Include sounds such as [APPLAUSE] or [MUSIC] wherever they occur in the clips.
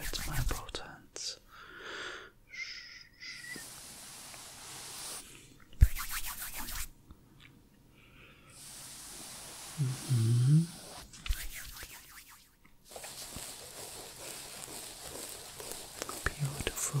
It's my protons. Mm-hmm. Beautiful.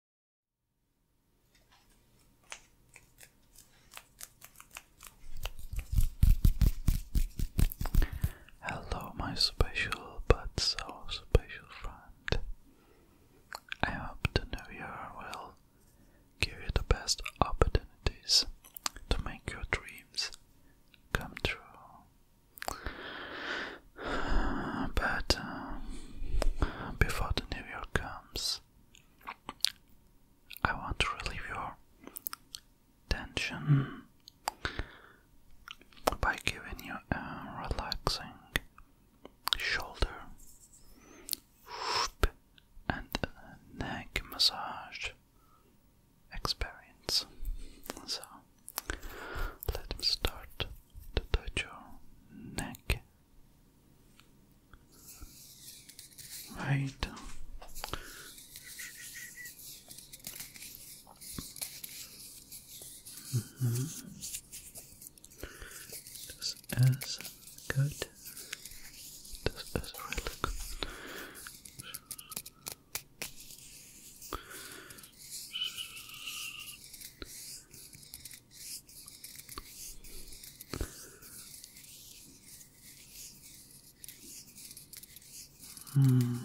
Hello, my special but so special friend. I hope the new year will give you the best opportunities to make your dreams come true. [SIGHS] But um, before the new year comes, I want to relieve your tension by giving you a relaxing shoulder and neck massage experience. So let me start to touch your neck Right. Mm-hmm. This is good. This is really good. Hmm.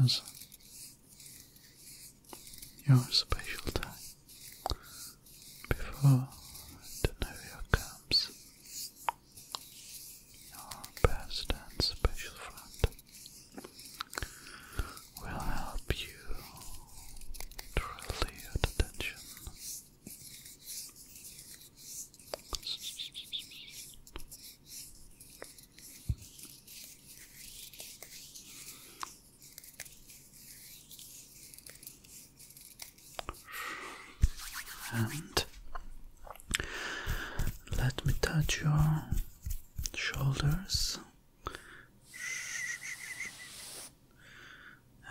This is your special time before the New Year comes your best and special friend will help you to relieve the tension. And let me touch your shoulders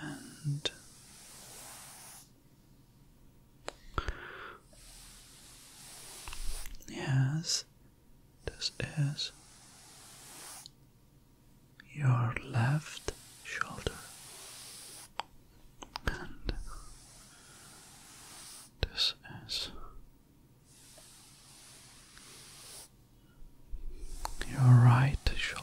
and yes, this is your left shoulder and this is your right shoulder.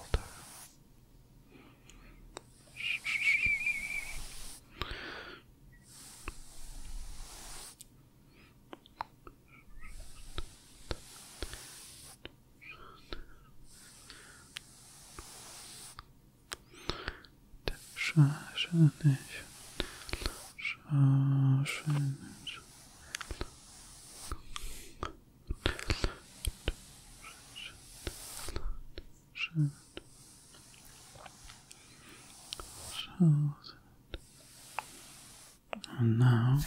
And now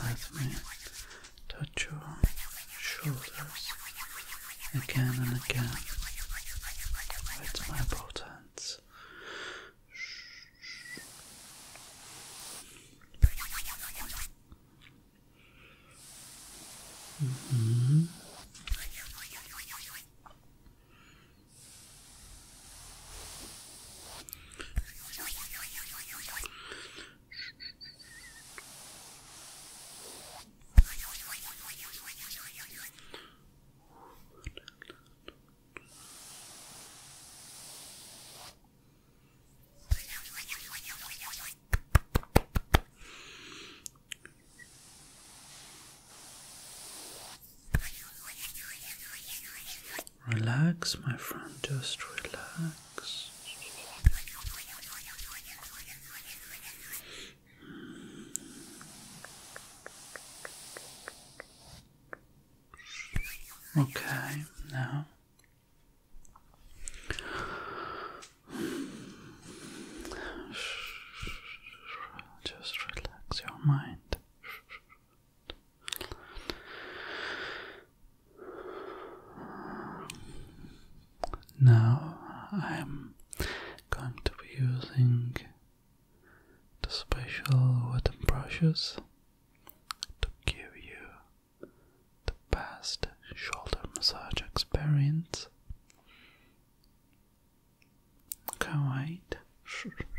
let me touch your shoulders again and again with my protons. Mm -hmm. Relax, my friend, just relax. Okay, now just relax your mind. Now I'm going to be using the special wooden brushes to give you the best shoulder massage experience. Can't [LAUGHS]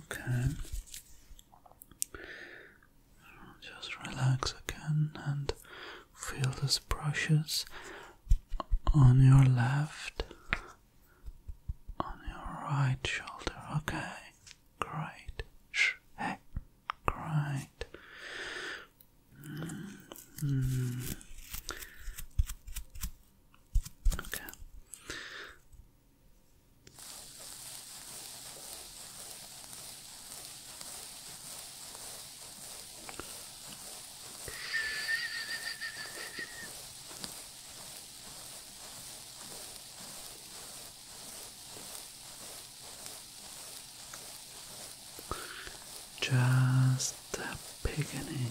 Okay. Just relax again and feel these brushes on your left, on your right shoulder. Okay, great. Shh. Hey, great. Mm-hmm. Just the beginning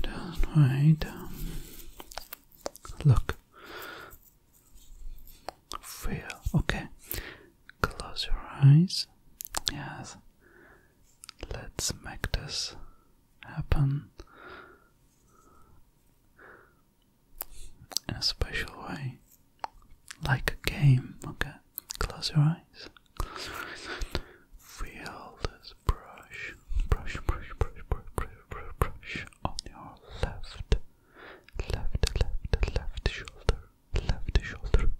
Just wait. Um, look. Feel. Okay. Close your eyes. Yes. Let's make this happen in a special way, like a game. Okay, close your eyes. Close your eyes. this brush, brush, brush, brush, brush, brush, brush, brush on your left, left, left, left shoulder, left shoulder.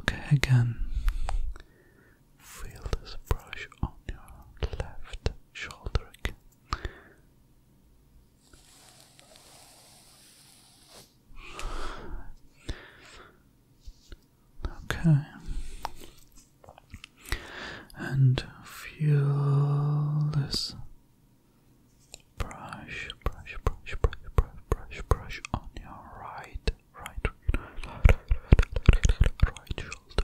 Okay, again, feel this brush on your left shoulder again. Okay. And feel this brush, brush, brush, brush, brush, brush, brush on your right right, shoulder.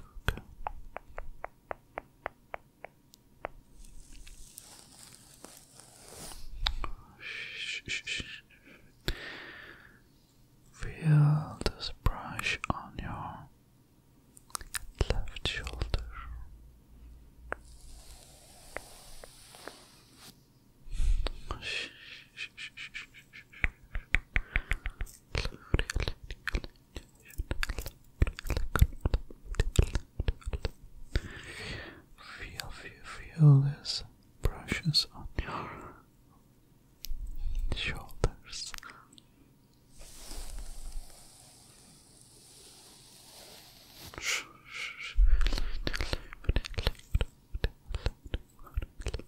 Feel this brush on your left shoulder. Feel, feel, feel these brushes on your shoulders.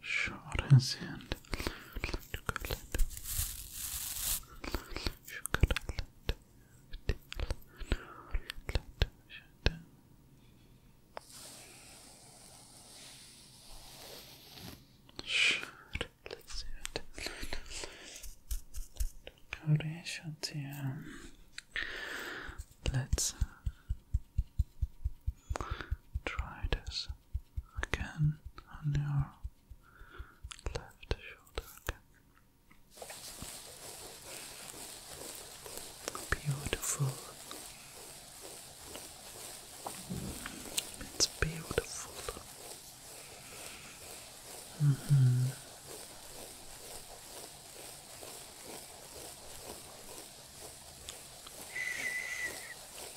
short and Let's try this again on your left shoulder again. Beautiful. It's beautiful. Mm -hmm.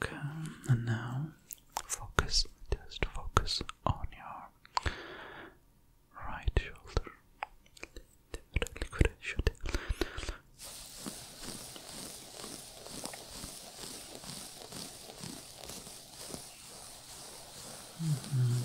Okay, and now focus, just focus on your right shoulder. Mm -hmm.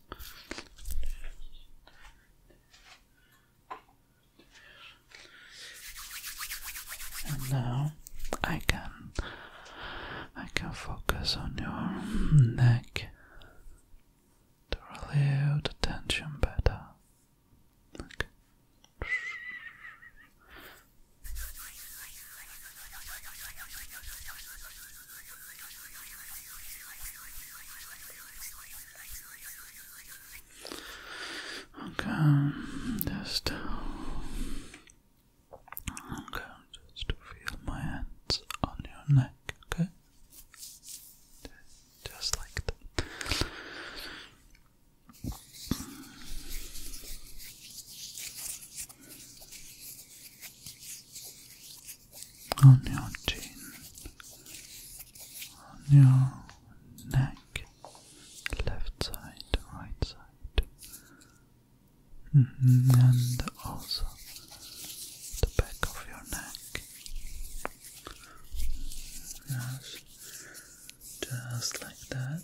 And now I can I can focus on your neck to relieve the tension better. Okay. Okay, just okay, just feel my hands on your neck, okay? Just like that on your chin, on your neck, left side, right side, mm-hmm. and also the back of your neck. Yes, just like that.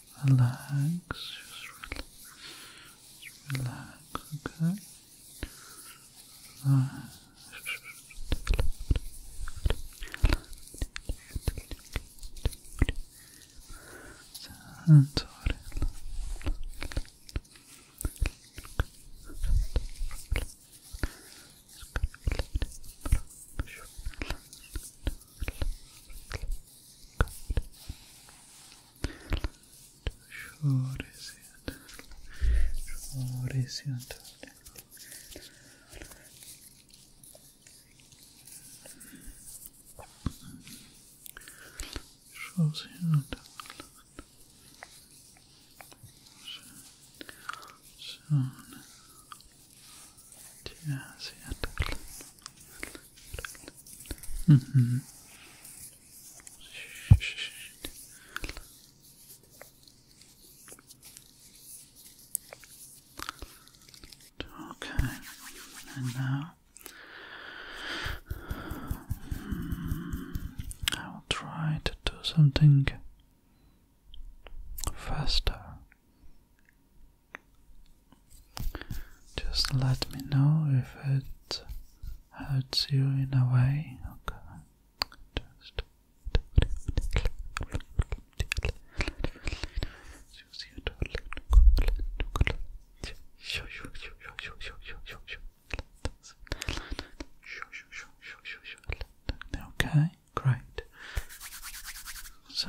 relax, just relax, relax okay? relax Shorty, Mm -hmm. Okay, and now I'll try to do something faster. Just let me know if it hurts you in a way. Okay. Okay, great. So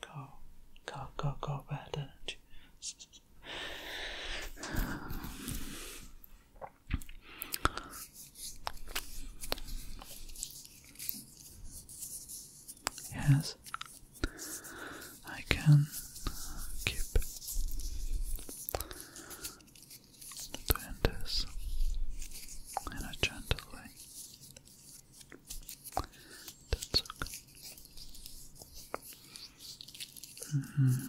Go, go, go, go, bad energy. Um, Yes, I can keep doing this in a gentle way. That's okay. Mm-hmm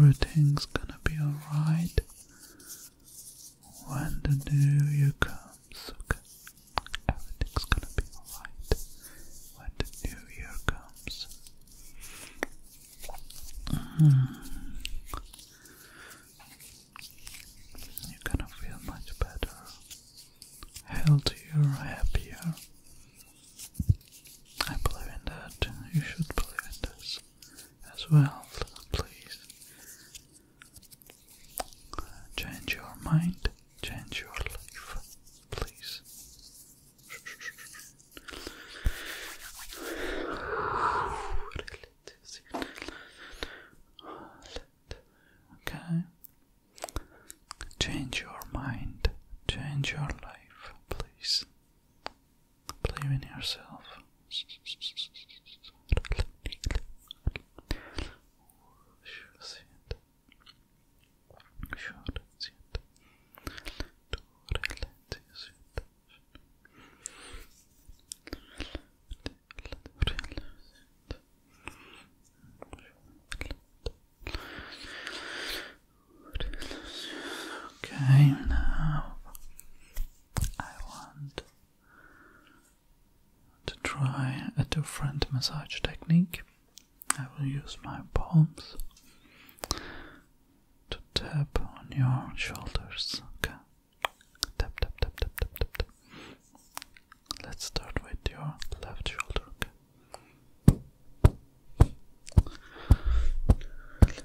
Everything's gonna be alright. When the new year comes, everything's gonna be alright. When the new year comes, hmm. you're gonna feel much better, healthier, happier. I believe in that. You should believe in this as well. Please Change your mind, change your life, please. Okay. Change your mind, change your life, please. Believe in yourself. Okay, now I want to try a different massage technique, I will use my palms to tap on your shoulders. Okay. Tap, tap, tap, tap, tap, tap, tap. Let's start with your left shoulder. Okay.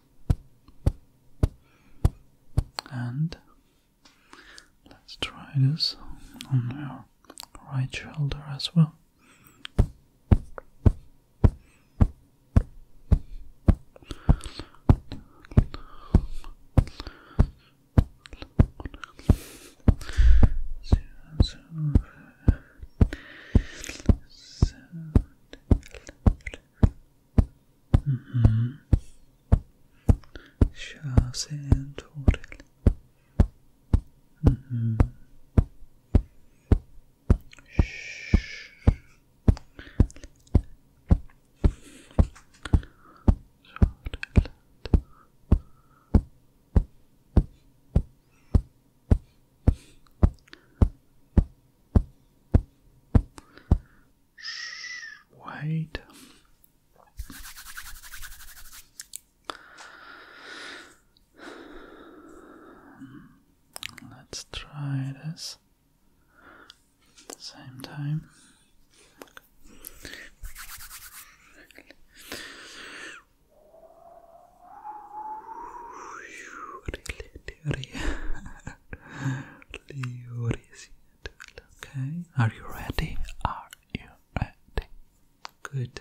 And let's try this on our right shoulder as well. Mm-hmm. Shh. Shh. Shh. Wait. Let's try this same time. Really Okay, are you ready? Are you ready? Good.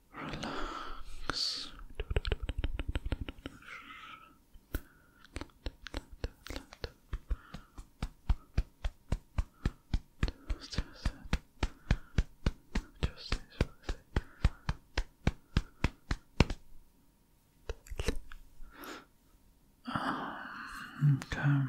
relax. okay.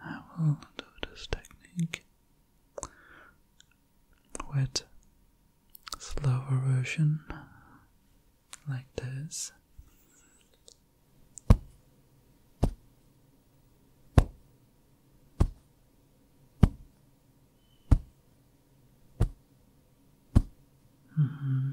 I will do this technique with slower version like this. Mm-hmm.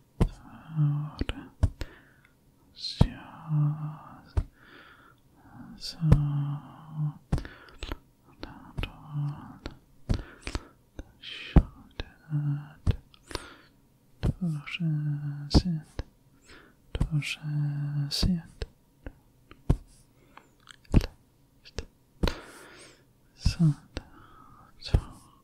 thought, just so that all shouldered, torsett, torsett, left, so that all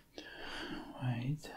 Wait. Okay.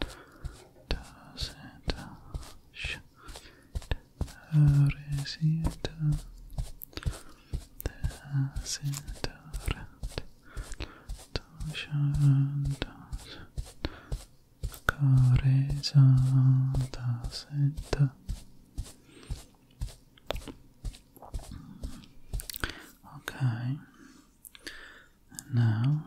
doesn't touch her, is it? Doesn't touch her, Okay. now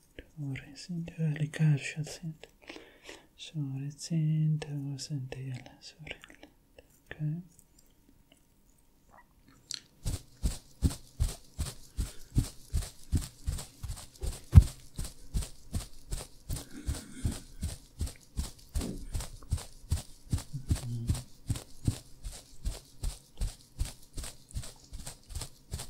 Torrescente, le calcio sente. Sorrecente, sentella, sorella. Okay. Mm -hmm.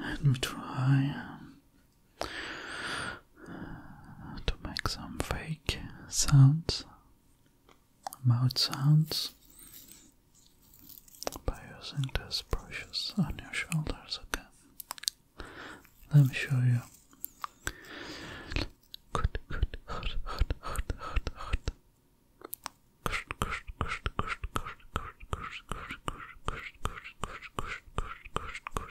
Let me try. Um, to make some fake sounds, mouth sounds, by using these brushes on your shoulders. Okay, let me show you.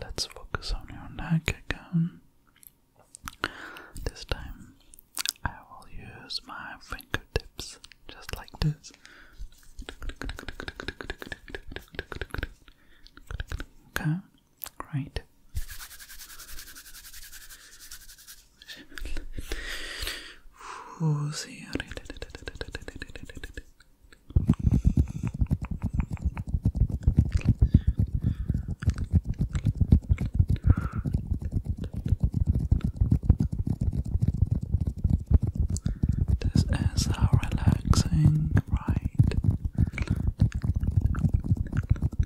Let's focus on your neck again. This time I will use my fingertips just like this. Okay, great. This is how relaxing, right?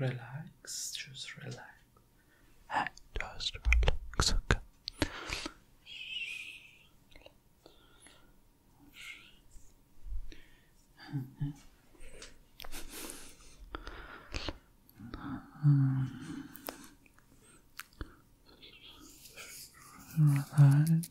Relax, just relax and just relax, okay? Relax. Relax.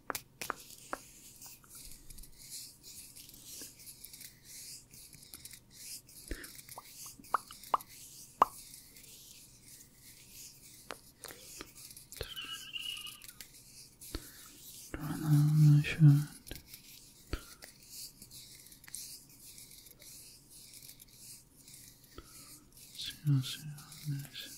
Turn on my shirt. See, see, see.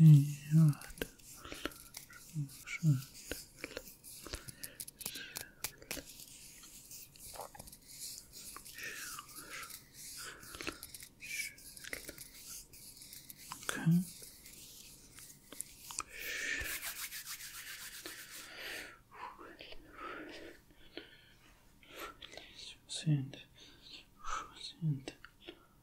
Okay. Send, send,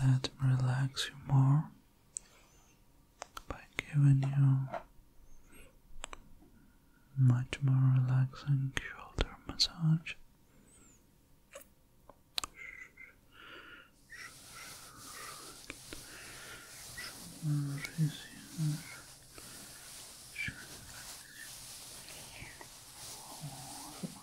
Let me relax you more by giving you much more relaxing shoulder massage.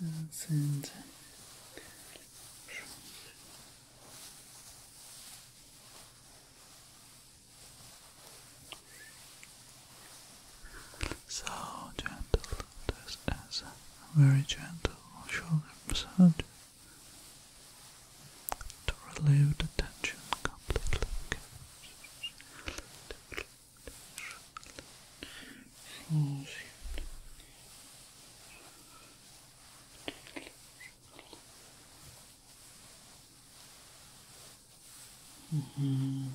Tausend. So gentle, just as very gentle shoulder massage to relieve the tension completely. Mm -hmm.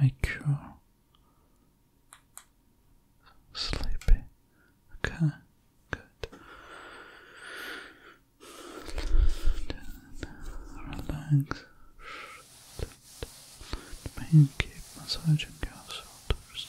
Make you sleepy. Okay, good. Relax. Pain keep massaging your shoulders.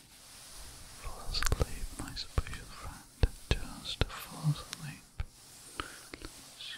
Fall asleep, my special friend. Just fall asleep. Just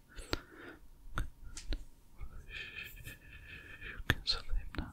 You can sleep now.